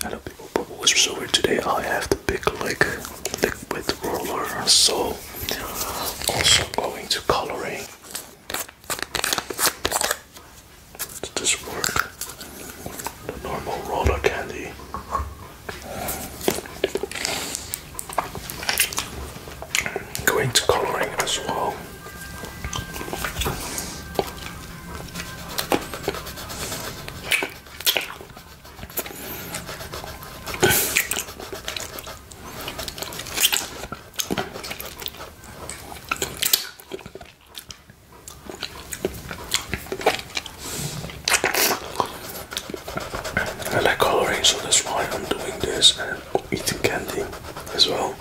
Hello people, What's Whisper Today I have the big lick liquid roller, so also going to coloring. Does this work? The normal roller candy. Going to coloring as well. I like coloring, so that's why I'm doing this and eating candy as well.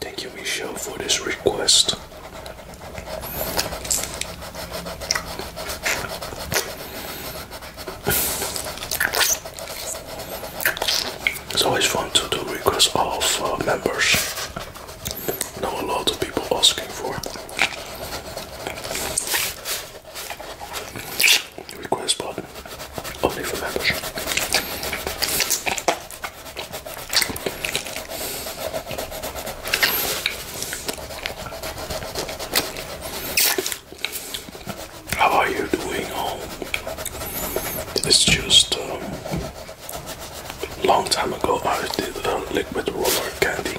Thank you, Michelle, for this request. It's always fun to do requests of uh, members. Know a lot of people asking for. it. Request button only for members. How are you doing It's just a um, long time ago I did a liquid roller candy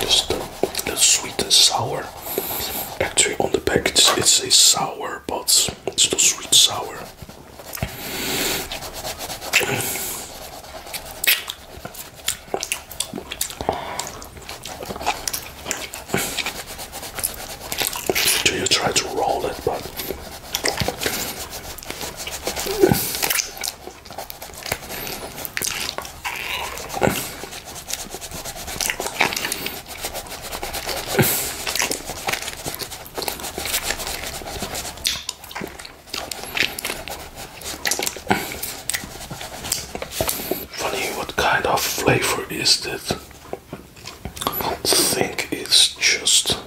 Just the, sweet and sour. Actually, on the package it says sour, but it's not sweet sour. Do you try to roll it, but Funny, what kind of flavor is that? I think it's just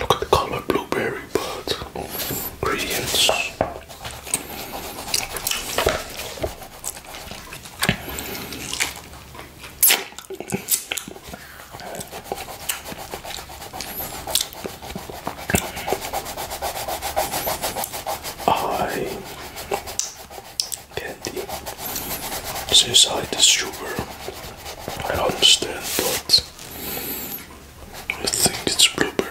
look at the color blueberry, but ingredients. I candy since I the sugar I understand, but I think it's blueberry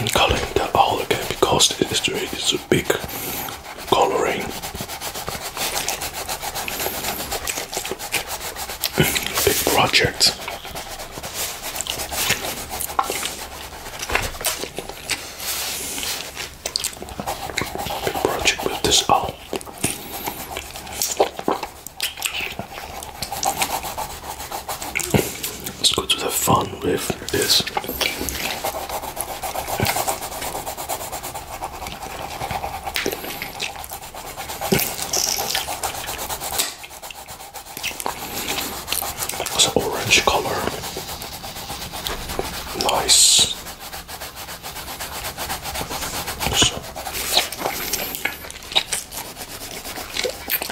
and coloring that all again because the history is a big coloring. big project. Big project with this all. Let's go to the fun with this. It's an orange color. Nice. So.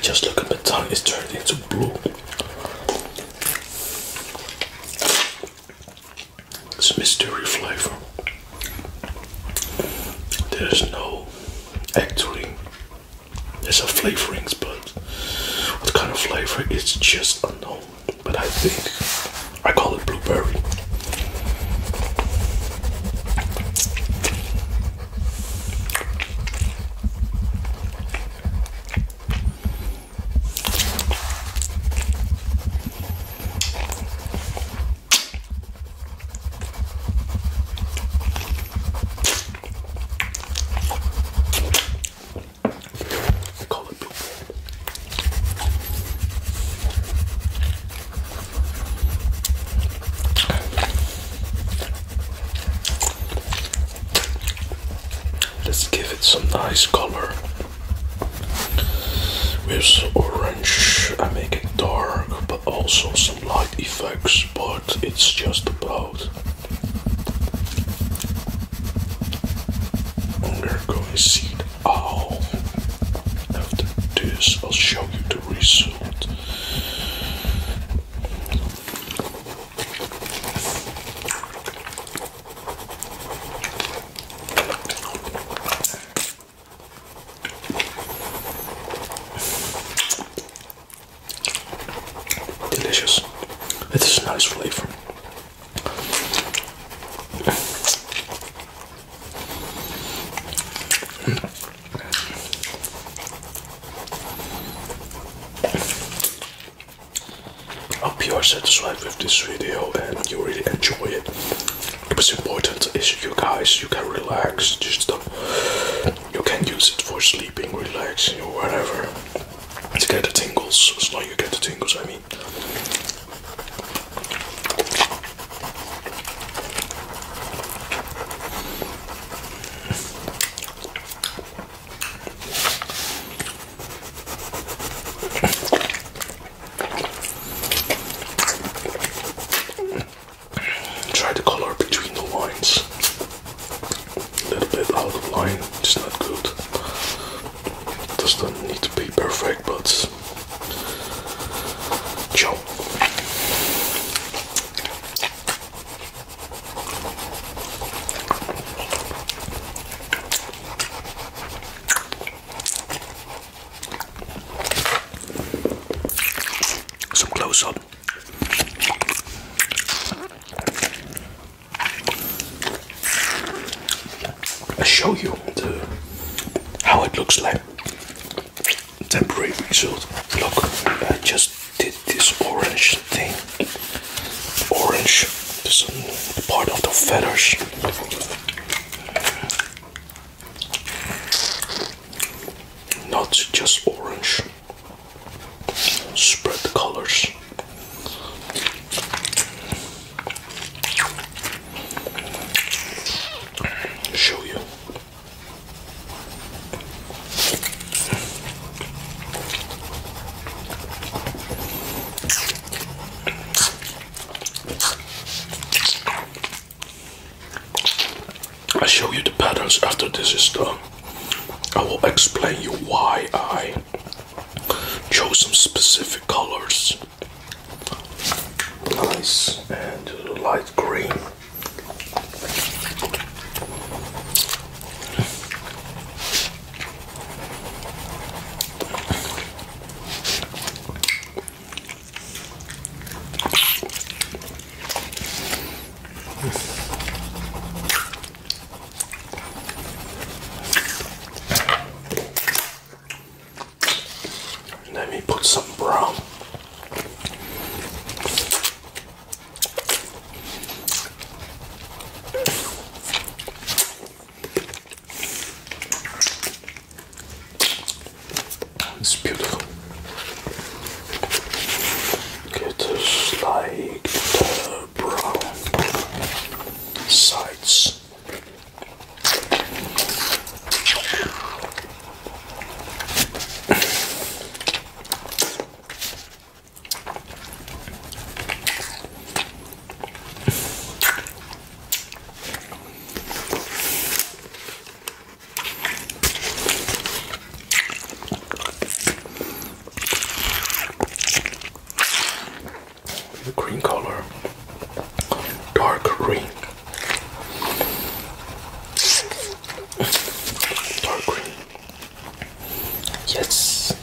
Just look at the tongue, it's turned into blue. It's mystery flavor. There's no actually it's a flavorings, but what kind of flavor is just unknown. But I think I call it blueberry. Let's give it some nice color with orange. I make it dark, but also some light effects, but it's just about. We're going to see the owl. After this, I'll show you the result. Delicious. It is a nice flavor. Hope you are satisfied with this video and you really enjoy it. What's important is you guys, you can relax, just stop. Uh, you can use it for sleep sleeping, relaxing, or whatever. To get the tingles, as long you get the tingles, I mean try the color between the lines. A little bit out of line, it's not good. It doesn't need to be perfect, but ciao. Some close up. I show you how it looks like. Temporary result. Look, I just did this orange thing. Orange, this part of the feathers. Not just orange. Spread the colors. Show you. I show you the patterns after this is done. I will explain you why I chose some specific colors. Nice and light green. Let me put some brown. It's beautiful. It is like the brown sides green color, dark green, dark green. Yes.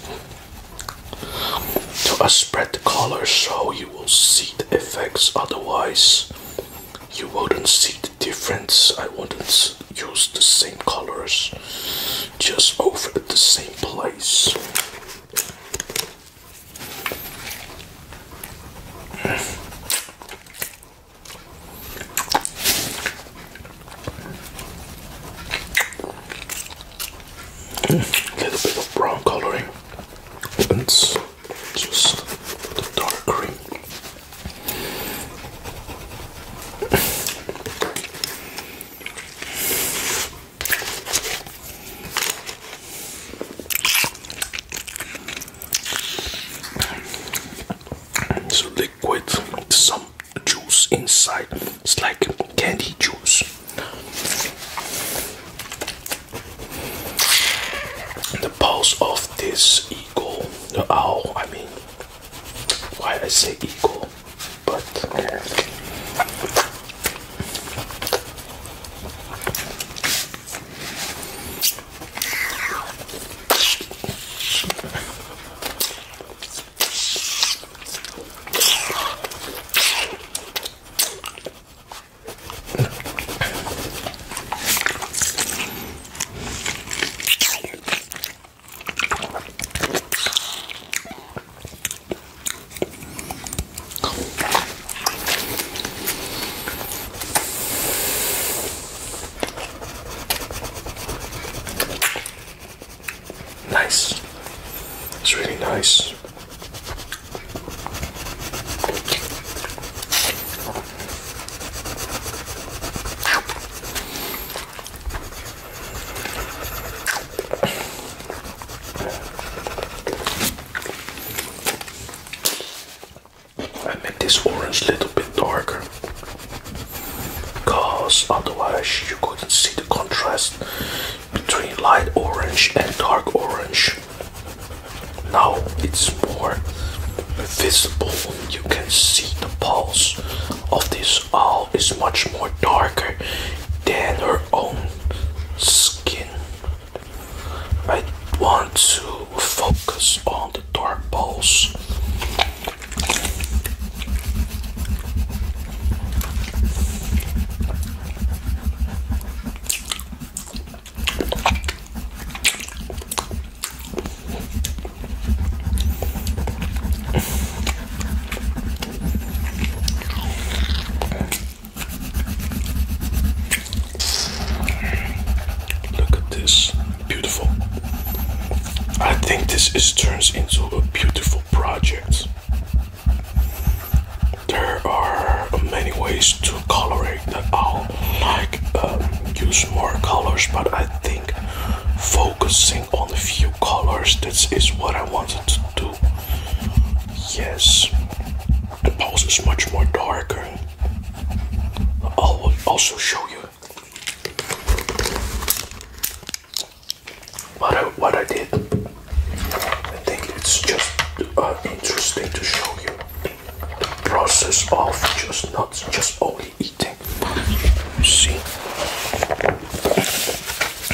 To spread the color so you will see the effects. Otherwise, you wouldn't see difference. I wouldn't use the same colors just over at the same place. A little bit of brown coloring and just the dark green. It's liquid, some juice inside. It's like candy juice. The pulse of this eagle Oh, I mean, why I say eagle? But Nice. It's really nice. I make this orange a little bit darker because otherwise you couldn't see the contrast between light orange and dark orange. Now it's more visible. You can see the pulse of this owl is much more darker than her own skin. I want to focus on the dark pulse. Look at this, beautiful. I think this is turns into a beautiful project. There are many ways to color it. I'll like um, use more colors, but I think focusing on a few colors this is what I wanted to do. Yes, the pose is much more darker. I'll also show you what I, what I did. I think it's just uh, interesting to show you. The process of just not just only eating. You see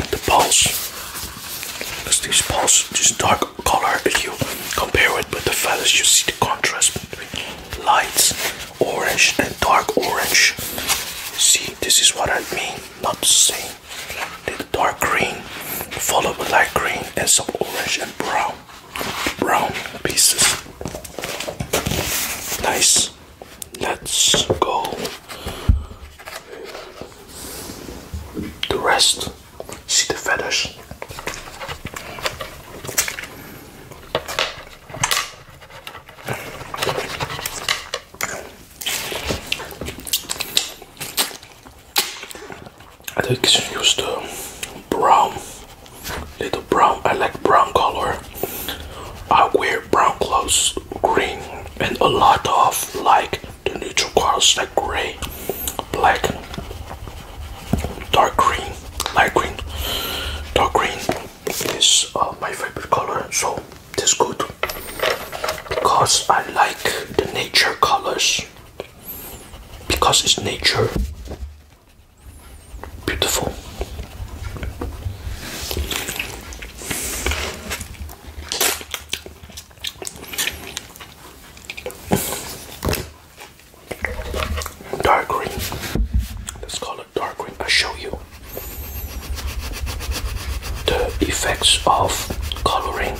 the pulse. There's this pulse, this dark color. you compare it with the feathers, you see the contrast between lights, orange and dark orange. see, this is what I mean. Not the saying the dark green, followed by light green and some orange and brown brown pieces. Nice. Let's go. The rest. See the feathers. I think it's used uh, brown, little brown. I like brown color. I wear brown clothes, green, and a lot of like the neutral colors like gray, black, dark green, light green. Dark green is uh, my favorite color, so this good because I like the nature colors because it's nature. Beautiful. Dark green. Let's call it dark green. i show you the effects of coloring.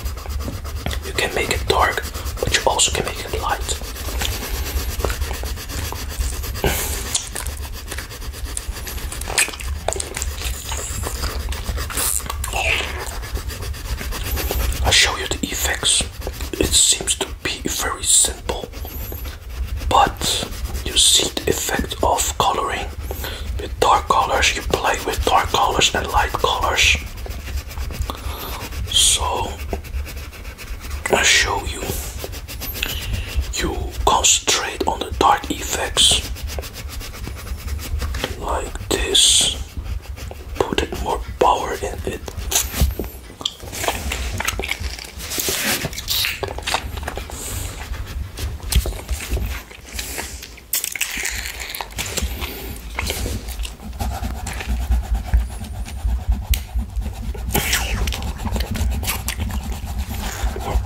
You can make it dark, but you also can make light. I'll show you the effects. It seems to be very simple, but you see the effect of coloring with dark colors. You play with dark colors and light colors. So I show you. You concentrate on the dark effects like this. Put more power in it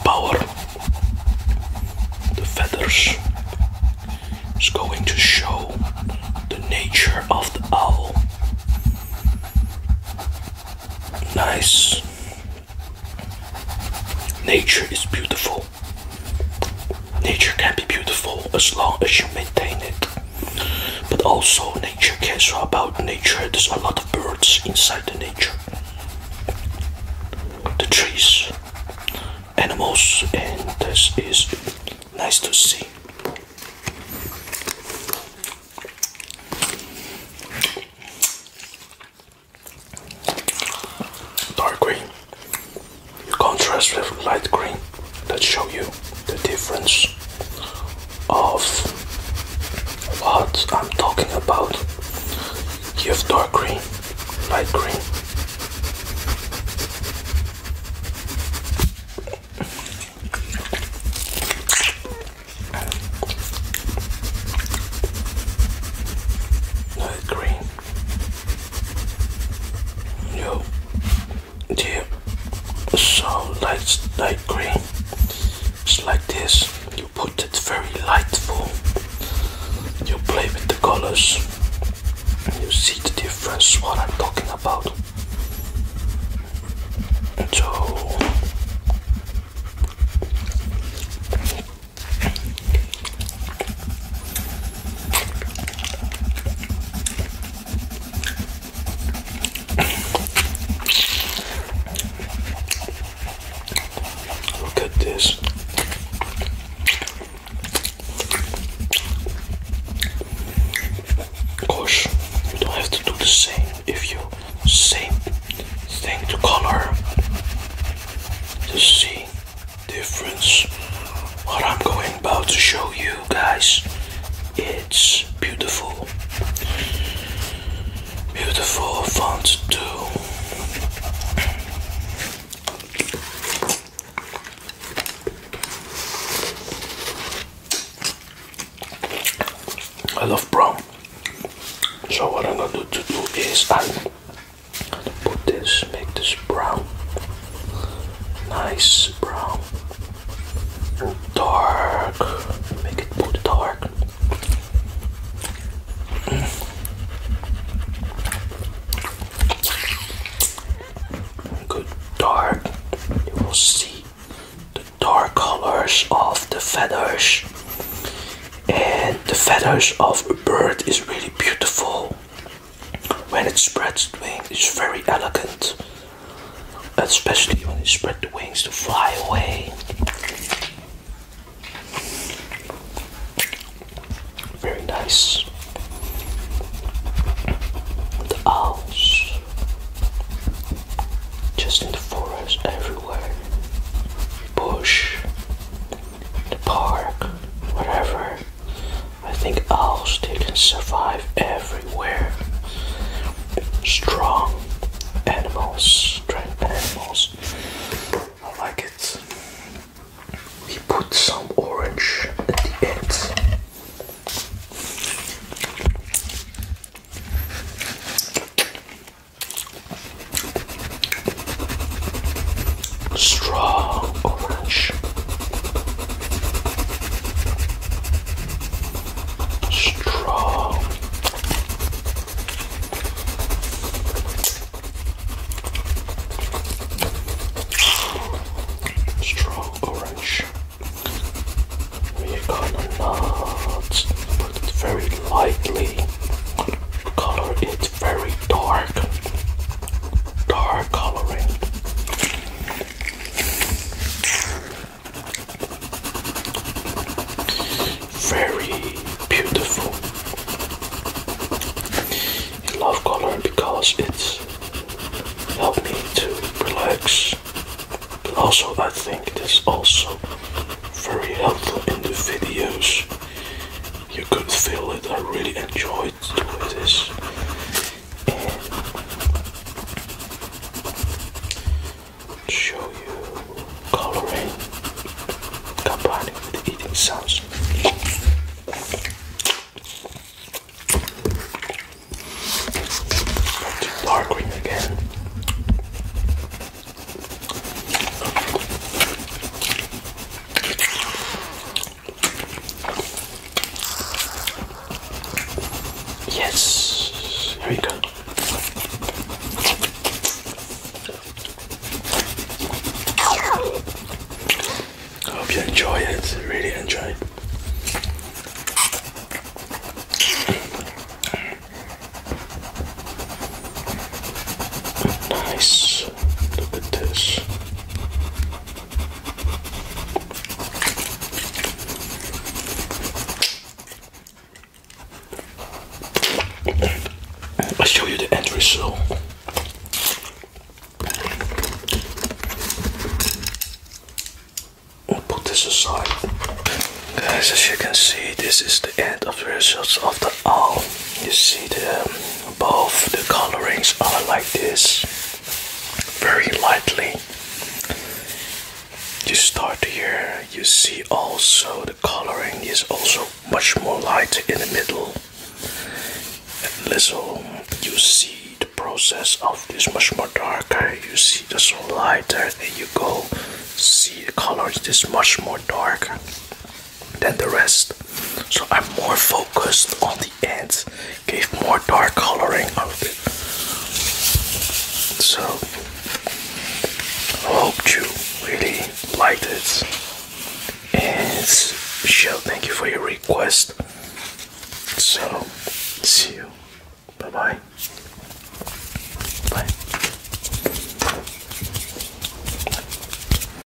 power. The feathers is going to show the nature of the owl. Nice. Nature is beautiful. Nature can be beautiful as long as you maintain it. But also nature cares about nature. There's a lot of birds inside the nature. The trees, animals, and this is nice to see. Dark green contrast with light green that show you the difference of what I'm talking about. You have dark green, light green. Light green. Yo, dear. So light, light green. Just like this. You put it very lightful. You play with the colors. You see the difference. What I'm talking about. So. Look at this. Of course, you don't have to do the same if you same thing to color to see difference. What I'm going about to show you guys, it's beautiful. Beautiful font too. I love brown. So what I'm gonna do to do is I put this, make this brown, nice brown, and dark, make it put dark. Mm. Good dark, you will see the dark colors of the feathers and the feathers of a bird is really beautiful when it spreads the wing, it's very elegant, especially when it spread the wings to fly away. Very nice. The owls, just in the forest, everywhere, bush, the park, wherever. I think owls they can survive everywhere. Strong animals, strong animals. I like it. We put some orange at the end strong orange, strong. Strong orange. We're gonna not put it very lightly, color it very dark, dark coloring. Very beautiful. I love color because it's helped me to relax. also I think it is also very helpful in the videos. You can feel it. I really enjoyed it's British. And show you coloring combining with eating sounds. Dark green again. Yes, here we go. I hope you enjoy it, really enjoy. Nice. Look at this. I'll show you the end result. We'll put this aside. Guys, as you can see, this is the end of the results of the Oh, you see the um, both the colorings are like this, very lightly. You start here, you see also the coloring is also much more light in the middle. And little, you see the process of this much more darker. You see the so lighter, and you go see the colors this much more dark than the rest. So I'm more focused on the ends, gave more dark coloring of it. So hope you really liked it. And Michelle, thank you for your request. So see you. Bye bye. Bye.